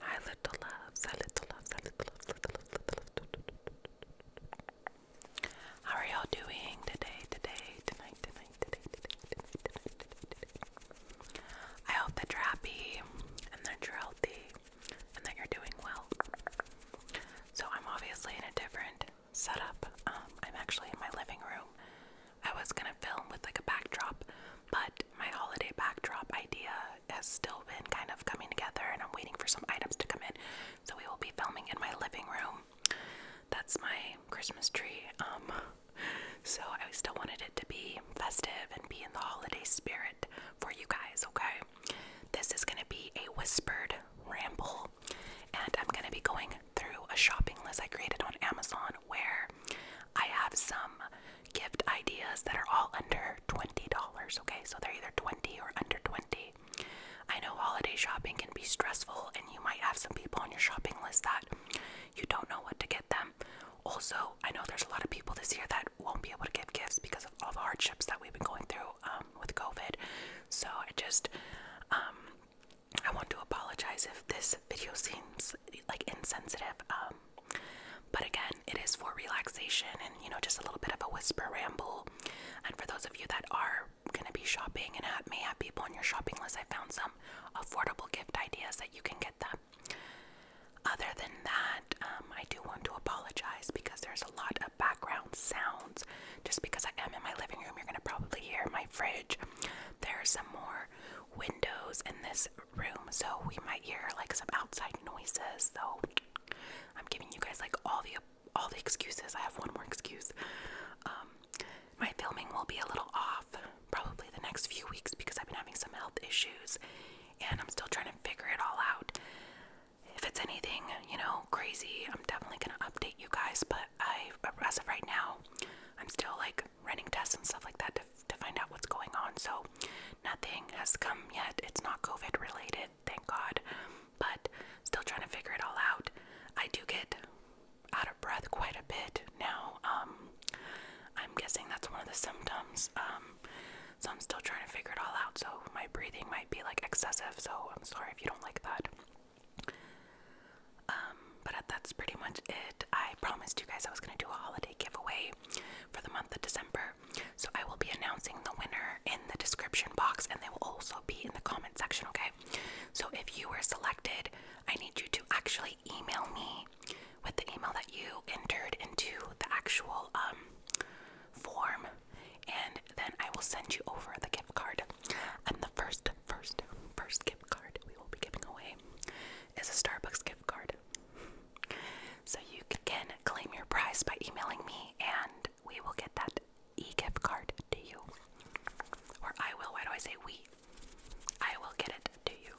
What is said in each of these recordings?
Hi, little loves. Hi, little loves. Hi, little loves. How are y'all doing today? Today, tonight, tonight, I hope that you're happy and that you're healthy and that you're doing well. So I'm obviously in a different setup. Um, I'm actually in my living room. I was gonna film with like a backdrop, but my holiday backdrop idea has still been kind of coming together and I'm waiting for some items to come in. So we will be filming in my living room. That's my Christmas tree. Um, so I still wanted it to be festive and be in the holiday spirit for you guys, okay? This is going to be a whispered ramble and I'm going to be going through a shopping list I created on Amazon where I have some gift ideas that are all under $20, okay? So they're either 20 or under 20. I know holiday shopping can be stressful and you might have some people on your shopping list that you don't know what to get them. Also, I know there's a lot of people this year that won't be able to give gifts because of all the hardships that we've been going through um, with COVID. So I just, um, I want to apologize if this video seems like insensitive. Um, but again, it is for relaxation and, you know, just a little bit of a whisper ramble. And for those of you that are going to be shopping and have, may have people on your shopping list, I found some affordable gift ideas that you can get them. Other than that, um, I do want to apologize because there's a lot of background sounds. Just because I am in my living room, you're going to probably hear my fridge. There are some more windows in this room, so we might hear like some outside noises. So I'm giving you guys like all the all the excuses. I have one more excuse. Um, my filming will be a little off probably the next few weeks because I've been having some health issues and I'm still trying to figure it all out. If it's anything, you know, crazy, I'm definitely gonna update you guys. But I, as of right now, I'm still like running tests and stuff like that to, to find out what's going on. So nothing has come yet. It's not COVID related, thank God. But still trying to figure it all out. I do get out of breath quite a bit now. Um, I'm guessing that's one of the symptoms. Um, so I'm still trying to figure it all out. So my breathing might be like excessive. So I'm sorry if you don't like that. Um, but that's pretty much it. I promised you guys I was gonna do a holiday giveaway for the month of December. So I will be announcing the winner in the description box and they will also be in the comment section, okay? So if you were selected, I need you to actually email me with the email that you entered into the actual um, form and then I will send you over the gift card. And the first first first gift card we will be giving away is a Starbucks gift card. So you can claim your prize by emailing me and we will get that e-gift card to you. Or I will, why do I say we? I will get it to you.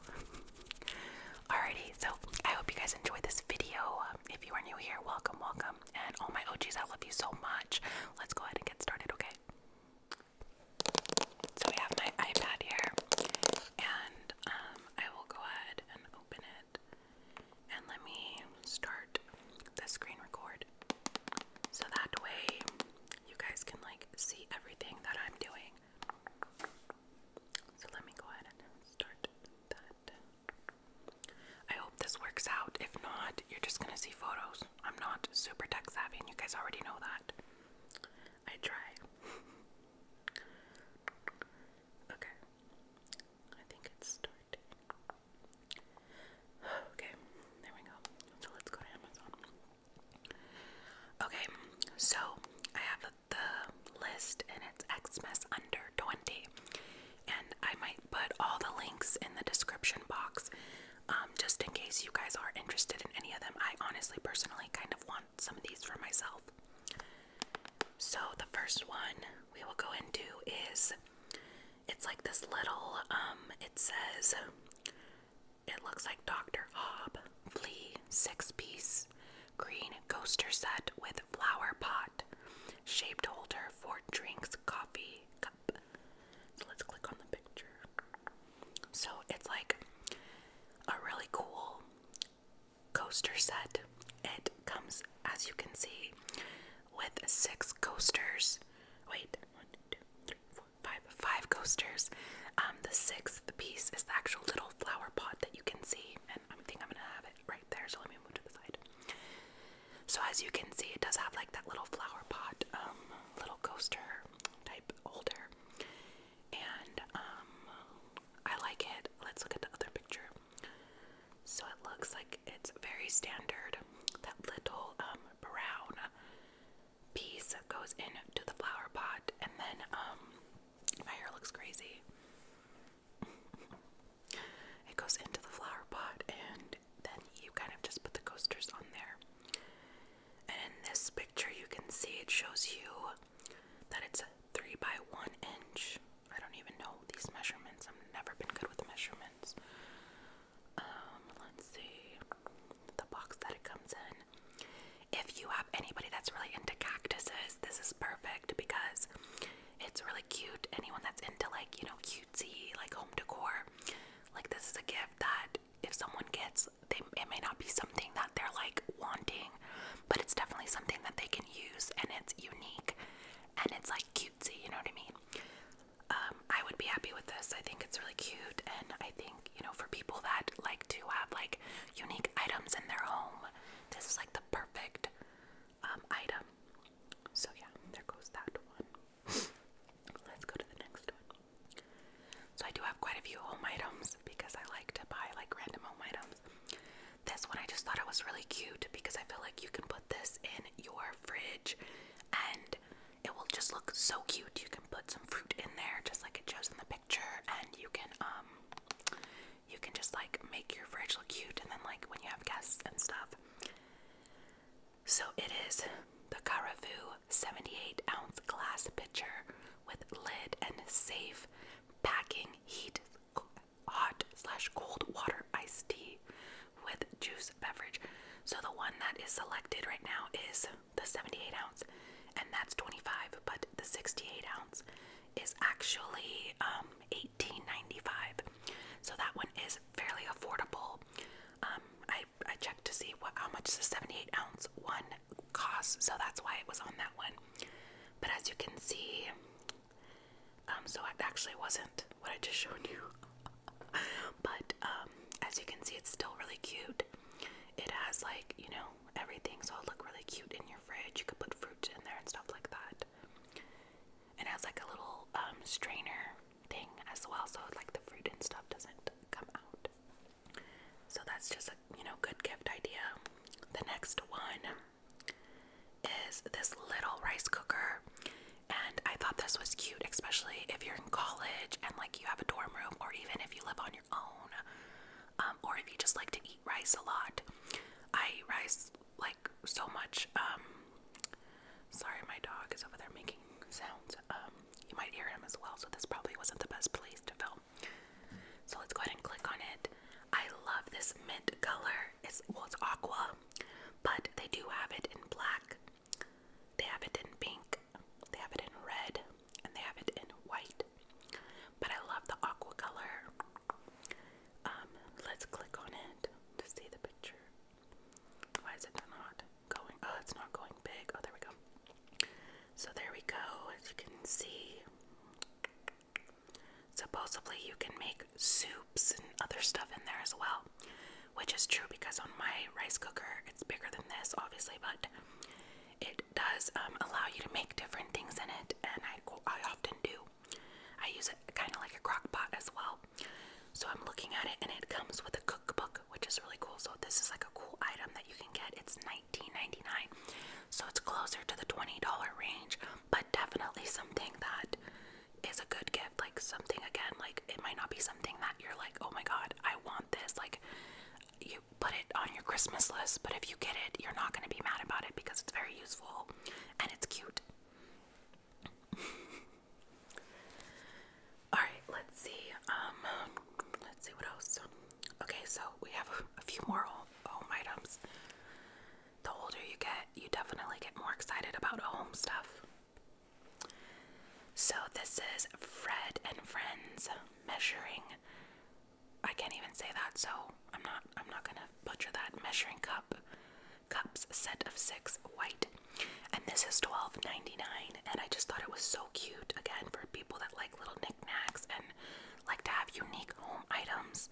Alrighty, so I hope you guys enjoyed this video. If you are new here, welcome, welcome. And all my OGs, I love you so much. Let's go ahead and get started, okay? So I have my iPad here, and um, I will go ahead and open it. And let me start the screen record so that way you guys can like see everything that I'm doing. So let me go ahead and start that. I hope this works out. If not, you're just gonna see photos. I'm not super tech savvy, and you guys already know that. I try. okay. I think it's starting. Okay, there we go. So let's go to Amazon. Okay, so I have the list and it's Xmas under 20. And I might put all the links in the description box um, just in case you guys are interested in any of them. I honestly, personally, kind of want some of these for myself. So the first one we will go into is it's like this little um it says it looks like Dr. Hobb six piece green coaster set with flower pot shaped holder for drinks coffee cup. So let's click on the picture. So it's like a really cool coaster set. It comes, as you can see, with six coasters. Wait, one, two, three, four, five, five coasters. Um, the sixth piece is the actual little flower pot that you can see, and I think I'm gonna have it right there. So let me move to the side. So as you can see, it does have like that little flower pot, um, little coaster type holder, and um I like it. Let's look at the other picture. So it looks like it's very standard. That little um brown piece goes into the flower pot and then um my hair looks crazy. it goes into the flower pot and then you kind of just put the coasters on there. And in this picture, you can see it shows you that it's 3 by 1 inch. I don't even know these measurements. I've never been good with measurements. Um, let's see the box that it comes in. If you have anybody that's really into cactuses, this is perfect because it's really cute. Anyone that's into like, you know, cutesy, like home decor, like this is a gift that if someone gets it may not be something that they're like wanting, but it's definitely something that they can use and it's unique and it's like cutesy, you know what I mean? Um, I would be happy with this. I think it's really cute and I think, you know, for people that like to have like unique items in their home, this is like the perfect um, item. So yeah, there goes that one. Let's go to the next one. So I do have quite a few home items because I like to buy like random home items. This one I just thought it was really cute because I feel like you can put this in your fridge and it will just look so cute. You can put some fruit in there just like it shows in the picture and you can um you can just like make your fridge look cute and then like when you have guests and stuff. So it is the Carafu 78 ounce glass pitcher with lid and safe packing heat hot slash cold water iced tea with juice beverage. So the one that is selected right now is the 78 ounce and that's 25 but the 68 ounce is actually 18.95 um, so that one is fairly affordable um, i I checked to see what how much the 78 ounce one cost, so that's why it was on that one. But as you can see, um, so it actually wasn't what I just showed you. but um, as you can see, it's still really cute. It has like you know everything, so it'll look really cute in your fridge. You could put fruit in there and stuff like that. And it has like a little um, strainer thing as well, so like the fruit and stuff doesn't come out. So that's just a you know good gift idea. The next one is this little rice cooker. And I thought this was cute, especially if you're in college and like you have a dorm room, or even if you live on your own, um, or if you just like to eat rice a lot. I eat rice like so much. Um, sorry, my dog is over there making sounds. Um, you might hear him as well, so this probably wasn't the best place to film. So let's go ahead and click on it. I love this mint color. It's well, aqua, but they do have it in black. They have it in pink. They have it in red, and they have it in white. But I love the aqua color. Um, let's click on it to see the picture. Why is it not? going. Oh, it's not going big. Oh, there we go. So there we go. As you can see, supposedly you can make soups and other stuff in there as well, which is true because on my rice cooker, it's bigger than this, obviously, but it does um, allow you to make different things in it, and I I often do. I use it kind of like a crock pot as well. So I'm looking at it, and it comes with a which is really cool. So this is like a cool item that you can get. It's $19.99. So it's closer to the $20 range, but definitely something that is a good gift. Like something again, like it might not be something that you're like, oh my god, I want this. Like you put it on your Christmas list, but if you get it, you're not gonna be mad about it because it's very useful and it's cute. All right, let's see. Um, let's see what else. Okay, so we have a few more home items. The older you get, you definitely get more excited about home stuff. So this is Fred and Friends measuring. I can't even say that, so I'm not. I'm not gonna butcher that. Measuring cup, cups set of six white and this is $12.99 and I just thought it was so cute again for people that like little knickknacks and like to have unique home items.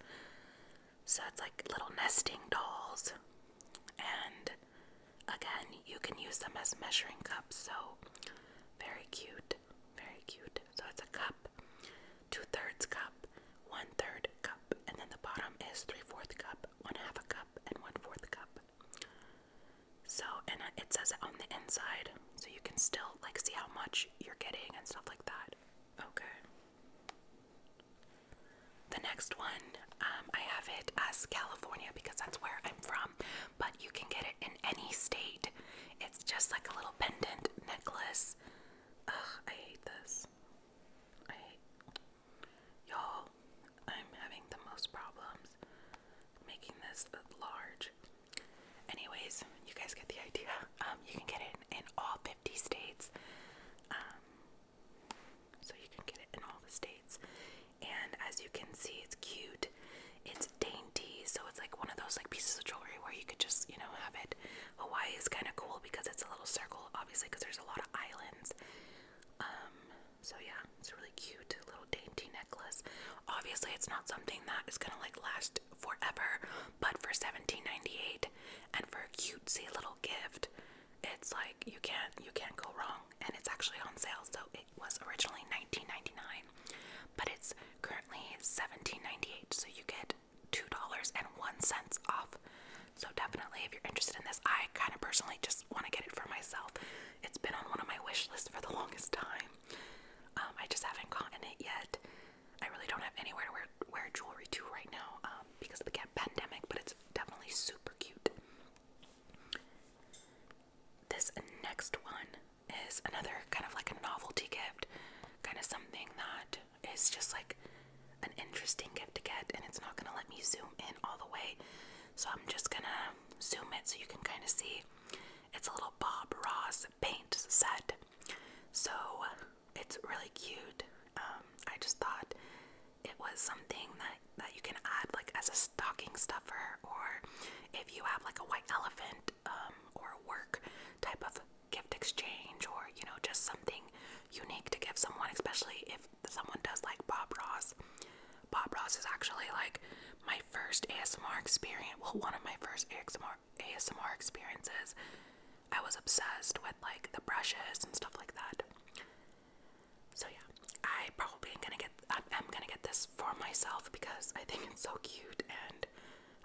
So it's like little nesting dolls. And again, you can use them as measuring cups. So very cute. Very cute. So it's a cup, two thirds cup, one third cup, and then the bottom is three fourth cup, one half a cup, and one fourth cup. So, and it says on the inside, so you can still like see how much you're getting and stuff like that. Okay. The next one, um, I have it as California because that's where I'm from, but you can get it in any state. It's just like a little pendant necklace. Ugh, I hate this. I hate y'all. I'm having the most problems making this large. Anyways, you guys get the idea. Um, you can get it in, all 50 states. Um, so you can get it in all the states. And as you can see, it's cute. It's dainty, so it's like one of those like pieces of jewelry where you could just, you know, have it. Hawaii is kind of cool because it's a little circle, obviously, because there's a lot of islands. Um, so yeah, it's a really cute little dainty necklace. Obviously, it's not something that is gonna like last forever, but for 17.98, and for a cutesy little gift, it's like you can't you can't go wrong. And it's actually on sale, so it was originally 19.99, but it's currently 17.98. So you get two dollars and one cents off. So definitely, if you're interested in this, I kind of personally just want to get it for myself. It's been on one of my wish lists for the longest time. Um, I just haven't gotten it yet. I really don't have anywhere to wear, wear jewelry to right now um, because of the pandemic, but it's definitely super cute. This next one is another kind of like a novelty gift, kind of something that is just like an interesting gift to get, and it's not going to let me zoom in all the way so I'm just gonna zoom it so you can kind of see. It's a little Bob Ross paint set. So it's really cute. Um, I just thought it was something that, that you can add like as a stocking stuffer or if you have like a white elephant um, or a work type of gift exchange or you know just something unique to give someone especially if someone does like Bob Ross. Bob Ross is actually like my first ASMR experience. Well, one of my first ASMR ASMR experiences. I was obsessed with like the brushes and stuff like that. So yeah, I probably am gonna get. I'm, gonna get this for myself because I think it's so cute, and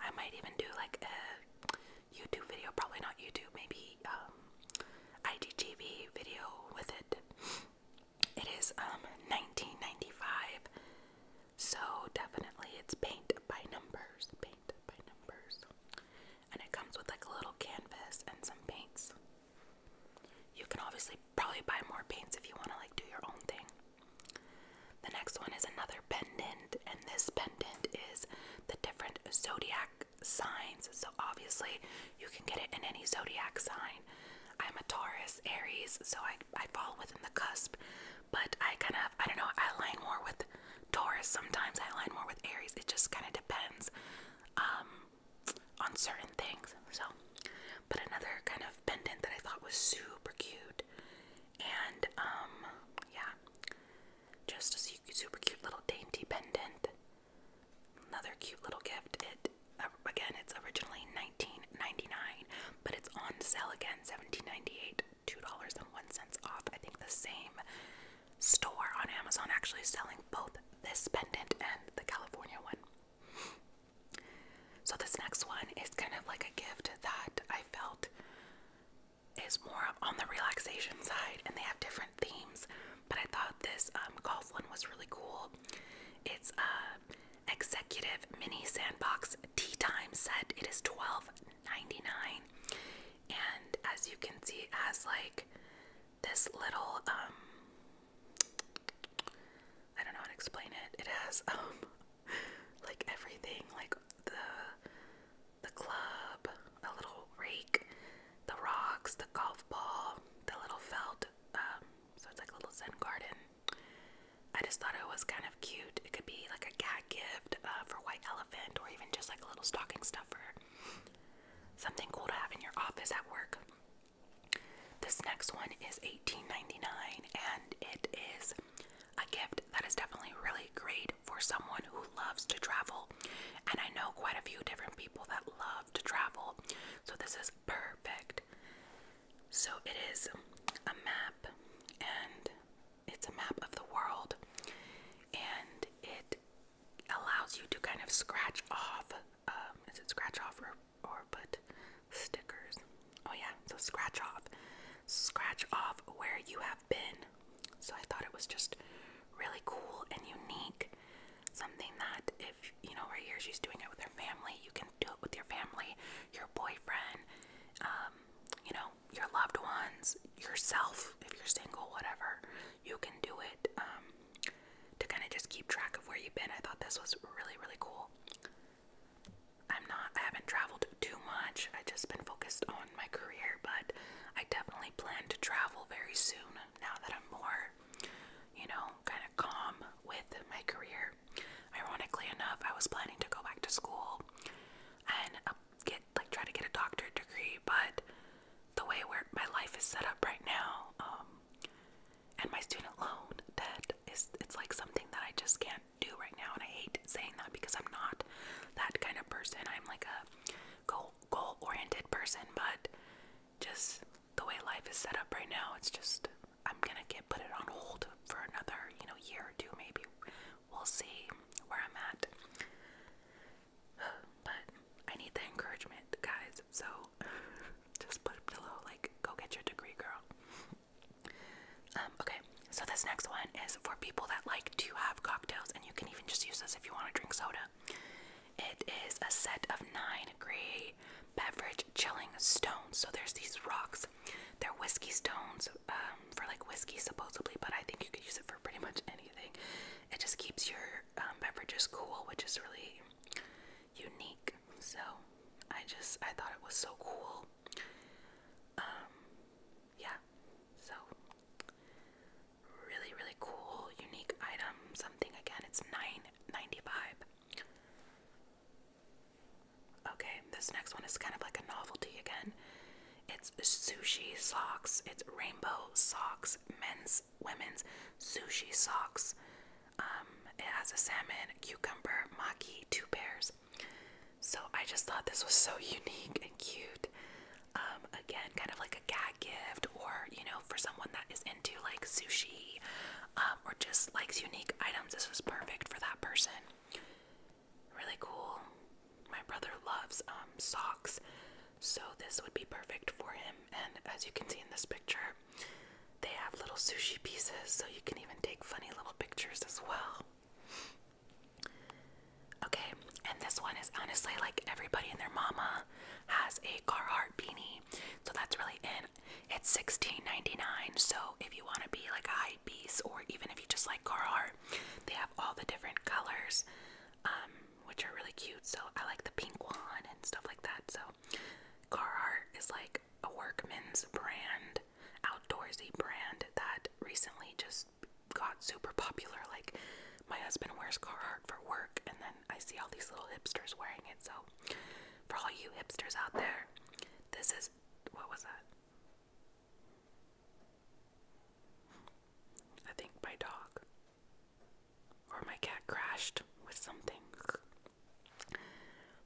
I might even do like a YouTube video. Probably not YouTube. Maybe um, IGTV video with it. It is um 1995, so definitely it's paint by numbers, paint by numbers, and it comes with like a little canvas and some paints. You can obviously probably buy more paints if you want to like do your own thing. The next one is another pendant, and this pendant is the different zodiac signs. So obviously, you can get it in any zodiac sign. I'm a Taurus, Aries, so I, I fall within the cusp, but I kind of, I don't know, I align more with Taurus sometimes, I align more with Aries. It just kind of depends um, on certain things. So, but another kind of pendant that I thought was super cute, and um, yeah, just a super cute little dainty pendant. Another cute little gift. It uh, again, it's originally nineteen ninety nine, but it's on sale again, seventeen ninety $2.01 off. I think the same store on Amazon actually selling both this pendant and the California one. So this next one is kind of like a gift that I felt is more on the relaxation side and they have different themes but I thought this um, golf one was really cool. It's uh, executive mini sandbox tea time set. It is $12.99. And as you can see, it has like this little, um, I don't know how to explain it. It has um, like everything, like the the club, a little rake, the rocks, the golf ball, the little felt. Um, so it's like a little Zen garden. I just thought it was kind of cute. It could be like a cat gift uh, for White Elephant or even just like a little stocking stuffer. Something cool to have in your office at work. This next one is $18.99 and it is a gift that is definitely really great for someone who loves to travel. And I know quite a few different people that love to travel. So this is perfect. So it is a map and it's a map of the world and it allows you to kind of scratch off um, is it scratch off or or put stickers. Oh yeah, so scratch off. Scratch off where you have been. So I thought it was just really cool and unique. Something that if you know right here she's doing it with her family, you can do it with your family, your boyfriend, um, you know, your loved ones, yourself if you're single, whatever. You can do it um, to kind of just keep track of where you've been. I thought this was really really cool. I'm not I haven't traveled too much. I have just been focused on my career, but I definitely plan to travel very soon now that I'm more you know, kind of calm with my career. Ironically enough, I was planning to go back to school and uh, get like try to get a doctorate degree, but the way where my life is set up right now, um, and my student loan debt is it's like something that I just can't do right now, and I hate saying that because I'm not that kind of person. I'm like a goal goal oriented person, but just the way life is set up right now, it's just I'm gonna get put it on hold for another, you know, year or two maybe. We'll see where I'm at. But I need the encouragement, guys. So just put a little like go get your degree, girl. Um, okay, so this next one is for people that like to have cocktails, and you can even just use this if you want to drink soda. It is a set of nine gray beverage chilling stones. So there's these rocks. They're whiskey stones um, for like whiskey supposedly, but I think you could use it for pretty much anything. It just keeps your um, beverages cool, which is really unique. So I just I thought it was so cool. Um, yeah. So Really, really cool, unique item. Something again, it's nine ninety-five. Okay, this next one is kind of like a novelty again. It's sushi socks. It's rainbow socks, men's, women's sushi socks. Um, it has a salmon, cucumber, maki, two pairs. So I just thought this was so unique and cute. Um, again, kind of like a gag gift, or you know, for someone that is into like sushi um, or just likes unique items, this was perfect for that person. Really cool. My brother loves um, socks, so this would be perfect for him. And as you can see in this picture, they have little sushi pieces, so you can even take funny little pictures as well. Okay, and this one is honestly like everybody and their mama has a Carhartt beanie, so that's really in. It's sixteen ninety nine. So if you want to be like a high piece, or even if you just like Carhartt, they have all the different colors, um, which are really cute. So I like the pink one and stuff like that. So Carhartt is like a workman's brand, outdoorsy brand that recently just got super popular. Like my husband wears Carhartt for work, and then I see all these little hipsters wearing it. So for all you hipsters out there, this is what was that? I think my dog or my cat crashed with something.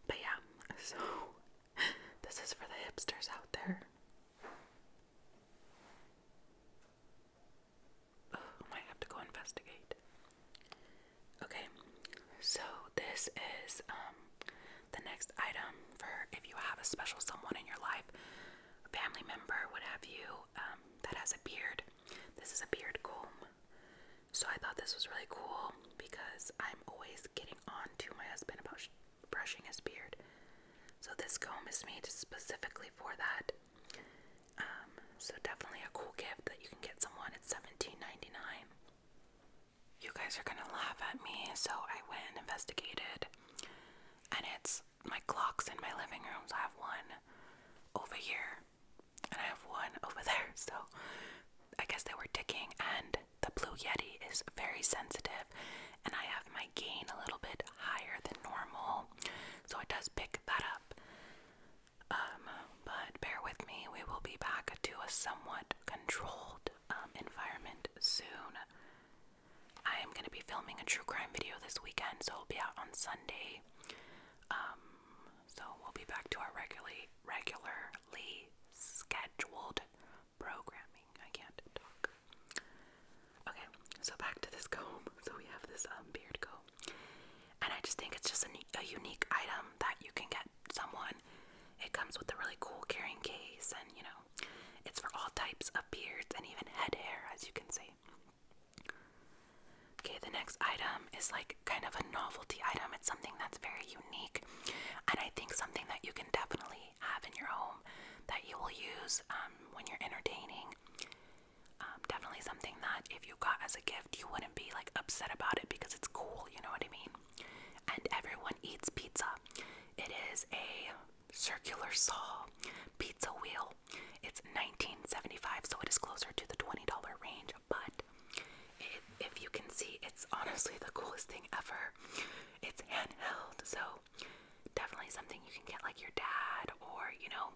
But yeah, so this is for the hipsters out there. Oh, I might have to go investigate. Okay, so this is um, the next item for if you have a special someone in your life, family member, what you, um, that has a beard. This is a beard comb. So I thought this was really cool because I'm always getting on to my husband about brushing his beard. So this comb is made specifically for that. Um, so definitely a cool gift that you can get someone. at $17.99. You guys are gonna laugh at me, so I went and investigated, and it's my clocks in my living room. So I have one over here, and I have one over there. So I guess they were ticking, and the Blue Yeti is very sensitive and I have my gain a little bit higher than normal, so it does pick that up. Um, but bear with me, we will be back to a somewhat controlled um, environment soon. I am going to be filming a true crime video this weekend, so it'll be out on Sunday. Um, so we'll be back to our regularly regularly scheduled programming. I can't talk. Okay, so back to this comb. So we have this um, beard comb, and I just think it's just a, a unique item that you can get someone. It comes with a really cool carrying case, and you know, it's for all types of beards and even head hair, as you can see. Okay, the next item is like kind of a novelty item. It's something that's very unique, and I think something that you can definitely have in your home that you will use um, when you're entertaining um, definitely something that if you got as a gift, you wouldn't be like upset about it because it's cool, you know what I mean? And everyone eats pizza. It is a circular saw pizza wheel. It's 1975, so it is closer to the $20 range, but if you can see, it's honestly the coolest thing ever. It's handheld, so definitely something you can get like your dad or, you know,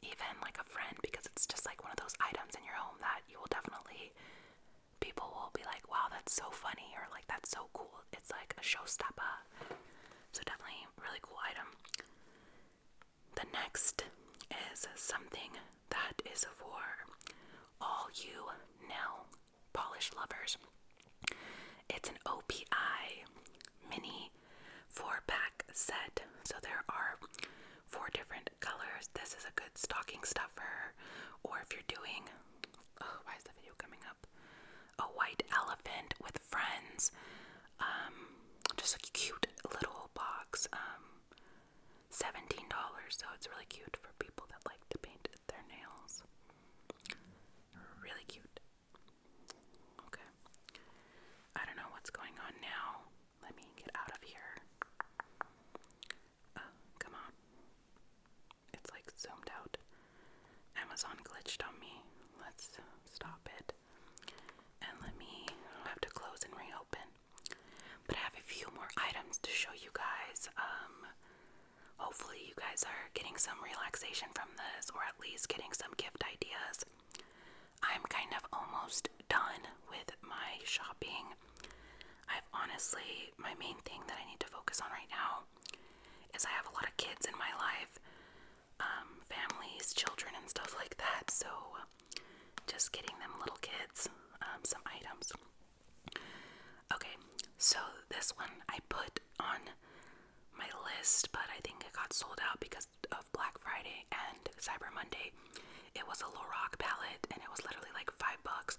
even like a friend because it's just like one of those items in your home that you will definitely people will be like, "Wow, that's so funny." Or like, "That's so cool." It's like a showstopper. So definitely really cool item. The next is something that is for all you nail polish lovers. It's an OPI mini four pack set. So there are four different colors. This is a good stocking stuffer, or if you're doing, oh, why is the video coming up? A white elephant with friends. Um, just a cute little box. Um, $17, so it's really cute for people that like to paint their nails. Really cute. Okay. I don't know what's going on now. Let me get out of here. Uh, come on. It's like zoomed out. Amazon glitched on me. Let's stop it. And let me have to close and reopen. But I have a few more items to show you guys. Um Hopefully, you guys are getting some relaxation from this or at least getting some gift ideas. I'm kind of almost done with my shopping. I've honestly, my main thing that I need to focus on right now is I have a lot of kids in my life, um, families, children, and stuff like that. So, just getting them little kids um, some items. Okay, so this one I put on my list, but I think it got sold out because of Black Friday and Cyber Monday. It was a Lorac palette and it was literally like five bucks.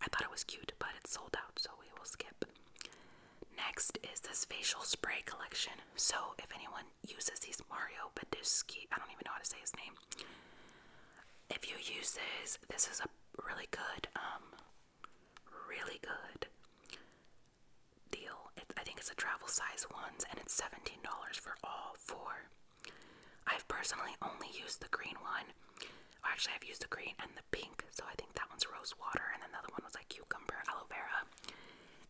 I thought it was cute, but it sold out, so we will skip. Next is this facial spray collection. So if anyone uses these Mario Badusky, I don't even know how to say his name. If you use this, this is a really good um, really good deal. I think it's a travel size ones, and it's $17 for all four. I've personally only used the green one. actually, I've used the green and the pink, so I think that one's rose water, and then the other one was like cucumber aloe vera.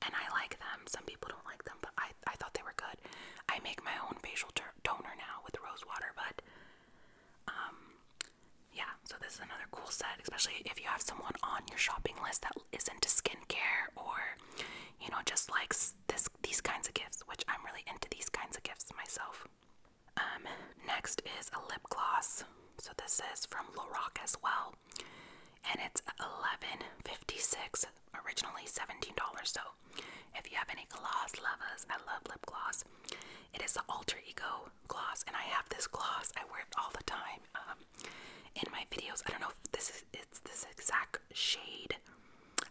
And I like them. Some people don't like them, but I, I thought they were good. I make my own facial toner now with rose water, but um, yeah, so this is another cool set, especially if you have someone on your shopping list that is into skincare or, you know, just likes this these kinds of gifts, which I'm really into these kinds of gifts myself. Um, next is a lip gloss. So this is from Lorac as well, and it's 11.56 originally $17. So if you have any gloss lovers, I love lip gloss. It is the Alter Ego gloss, and I have this gloss. I wear it all the time um, in my videos. I don't know if this is it's this exact shade.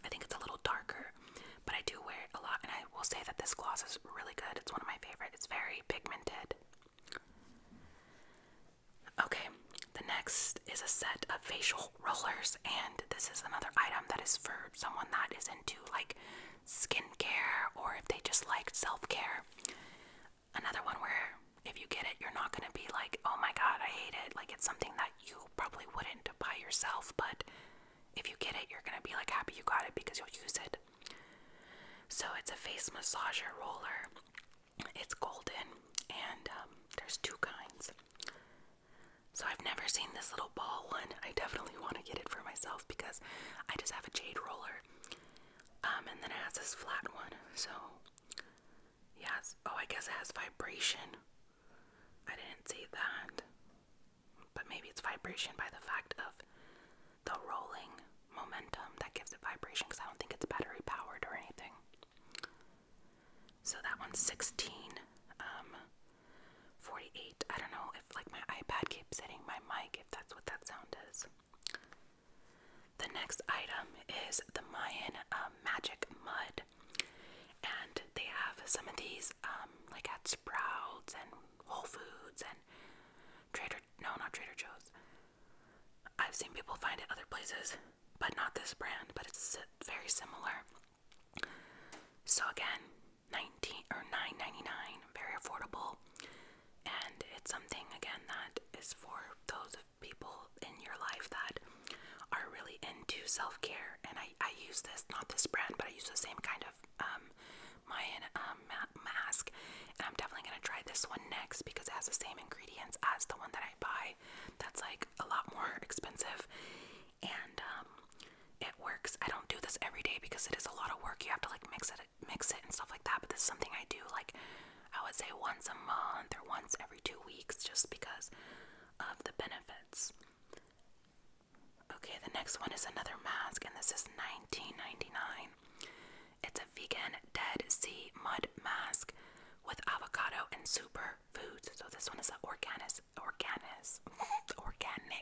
I think it's a little darker, but I do wear it a lot, and I will say that this gloss is really good. It's one of my favorite. It's very pigmented. Okay, the next is a set of facial rollers, and this is another item that is for someone that is into like skincare or if they just like self care. Another one where if you get it, you're not going to be like, oh my god, I hate it. Like, it's something that you probably wouldn't buy yourself, but if you get it, you're going to be like happy you got it because you'll use it. So, it's a face massager roller, it's golden, and um, there's two kinds. So, I've never seen this little ball one. I definitely want to get it for myself because I just have a jade roller um, and then it has this flat one. So, yes. Oh, I guess it has vibration. I didn't see that. But maybe it's vibration by the fact of the rolling momentum that gives it vibration because I don't think it's battery powered or anything. So that one's 16, um, 48. I don't know if like my iPad keeps hitting my mic that's what that sound is. The next item is the Mayan um, magic mud, and they have some of these um, like at Sprouts and Whole Foods and Trader no not Trader Joe's. I've seen people find it other places, but not this brand. But it's very similar. So again, 19 or 9.99 very affordable and it's something again that is for those people in your life that are really into self-care and I, I use this not this brand but I use the same kind of um, Mayan um, mask and I'm definitely gonna try this one next because it has the same ingredients as the one that I buy that's like a lot more expensive and um, it works. I don't do this every day because it is a lot of work. You have to like mix it mix it and stuff like that, but this is something I do like I would say once a month or once every two weeks just because of the benefits. Okay, the next one is another mask, and this is nineteen ninety nine. It's a vegan Dead Sea Mud Mask with avocado and super foods. So this one is an organis, organis, organic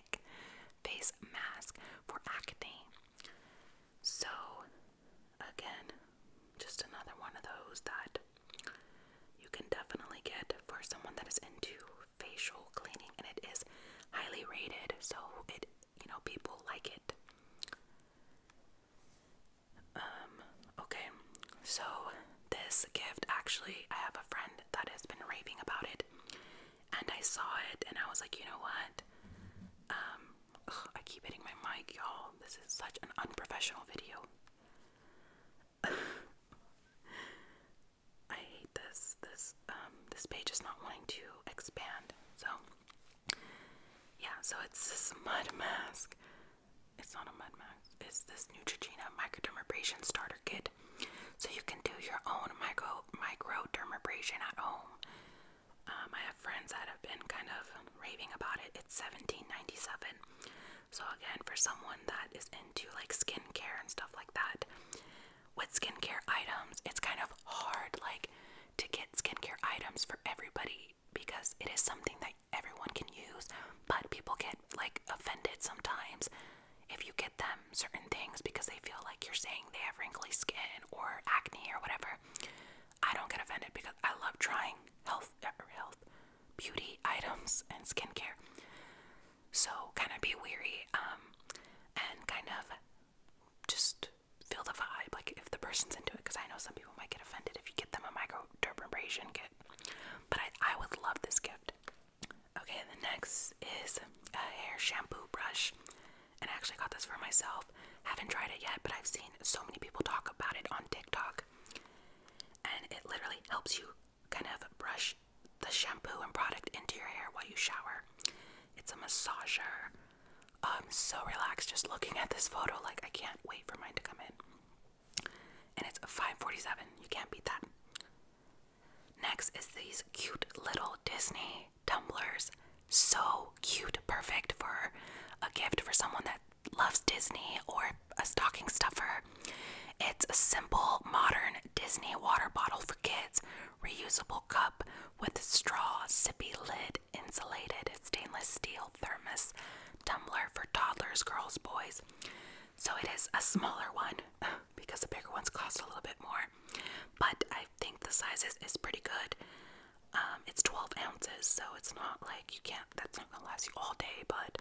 face mask for acne. So, again, just another one of those that you can definitely get for someone that is into facial cleaning, and it is highly rated, so it you know people like it. Um, okay, so this gift actually, I have a friend that has been raving about it, and I saw it and I was like, you know what? Um, I keep hitting my mic, y'all. This is such an unprofessional video. I hate this. This um this page is not wanting to expand. So yeah, so it's this mud mask. It's not a mud mask. It's this Neutrogena microdermabrasion starter kit so you can do your own micro microdermabrasion at home. Um, I have friends that have been kind of raving about it. It's 17.97. So again, for someone that is into like skincare and stuff like that, with skincare items, it's kind of hard like to get skincare items for everybody because it is something that everyone can use, but people get like offended sometimes if you get them certain things because they feel like you're saying they have wrinkly skin or acne or whatever, I don't get offended because I love trying health, uh, health, beauty items and skincare. So kind of be weary um, and kind of just feel the vibe, like if the person's into it. Because I know some people might get offended if you get them a microdermabrasion kit, but I, I would love this gift. Okay, the next is a hair shampoo brush. And I actually got this for myself. Haven't tried it yet, but I've seen so many people talk about it on TikTok. And it literally helps you kind of brush the shampoo and product into your hair while you shower. It's a massager. I'm so relaxed just looking at this photo. Like, I can't wait for mine to come in. And it's 547. You can't beat that. Next is these cute little Disney tumblers. So cute, perfect for a gift for someone that loves Disney or a stocking stuffer. It's a simple, modern Disney water bottle for kids, reusable cup with straw, sippy lid, insulated stainless steel thermos tumbler for toddlers, girls, boys. So it is a smaller one because the bigger ones cost a little bit more. But I think the size is, is pretty good. Um, it's 12 ounces, so it's not like you can't, that's not gonna last you all day, but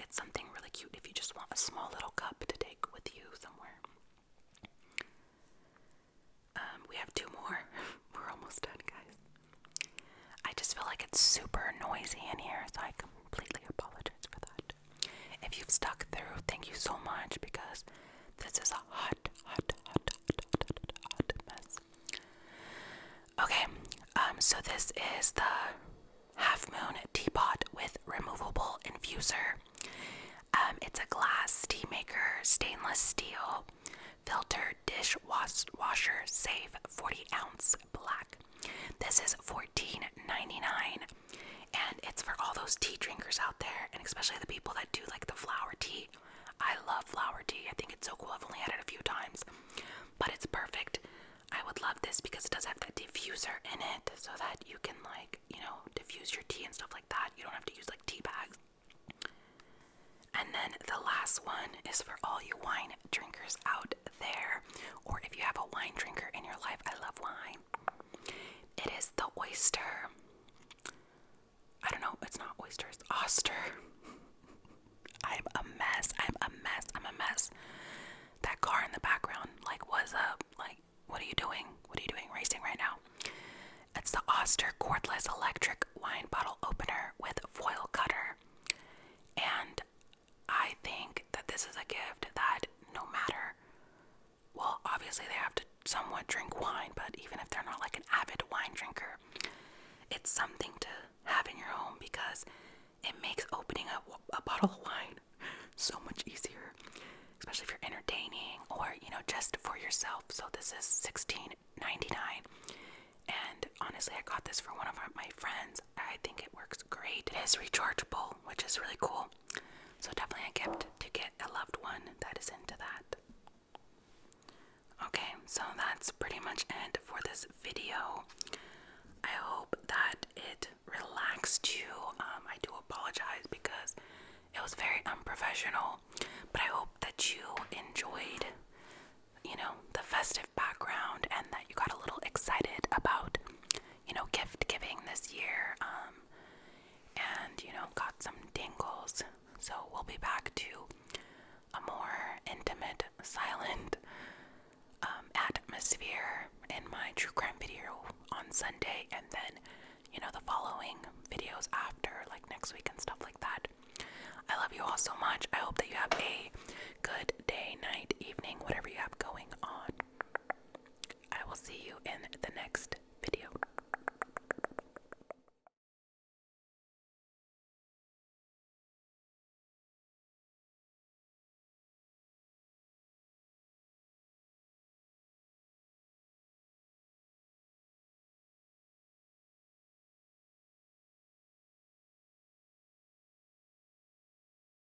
it's something really cute if you just want a small little cup to take with you somewhere. Um, we have two more. We're almost done, guys. I just feel like it's super noisy in here, so I completely apologize for that. If you've stuck through, thank you so much because this is a hot, hot, hot, hot, hot, hot mess. Okay, um, so this is the half moon teapot with removable infuser. Um, it's a glass tea stainless steel, filter, dish wash washer, save 40 ounce black. This is $14.99 and it's for all those tea drinkers out there, and especially the people that do like the flower tea. I love flower tea. I think it's so cool. I've only had it a few times, but it's perfect. I would love this because it does have that diffuser in it, so that you can like you know diffuse your tea and stuff like that. You don't have to use like tea bags. And then the last one is for all you wine drinkers out there, or if you have a wine drinker in your life. I love wine. It is the oyster. I don't know, it's not oysters, oyster. I'm a mess. I'm a mess. I'm a mess. That car in the background, like, what's up? Like, what are you doing? What are you doing racing right now? It's the Oster cordless electric wine bottle opener with foil cutter. And I think that this is a gift that no matter, well, obviously they have to somewhat drink wine, but even if they're not like an avid wine drinker, it's something to have in your home because it makes opening up a, a bottle of wine so much easier, especially if you're entertaining or you know just for yourself. So this is $16.99, and honestly, I got this for one of my friends I think it works great. It is rechargeable, which is really cool. So definitely a gift to get a loved one that is into that. Okay, so that's pretty much it for this video. I hope that it relaxed you. Um, I do apologize because it was very unprofessional, but I hope that you enjoyed, you know, the festive background and that you got a little excited about you know, gift giving this year, um, and you know, got some dingles. So we'll be back to a more intimate, silent um, atmosphere in my true crime video on Sunday, and then you know, the following videos after, like next week and stuff like that. I love you all so much. I hope that you have a good day, night, evening, whatever you have going on. I will see you in the next video.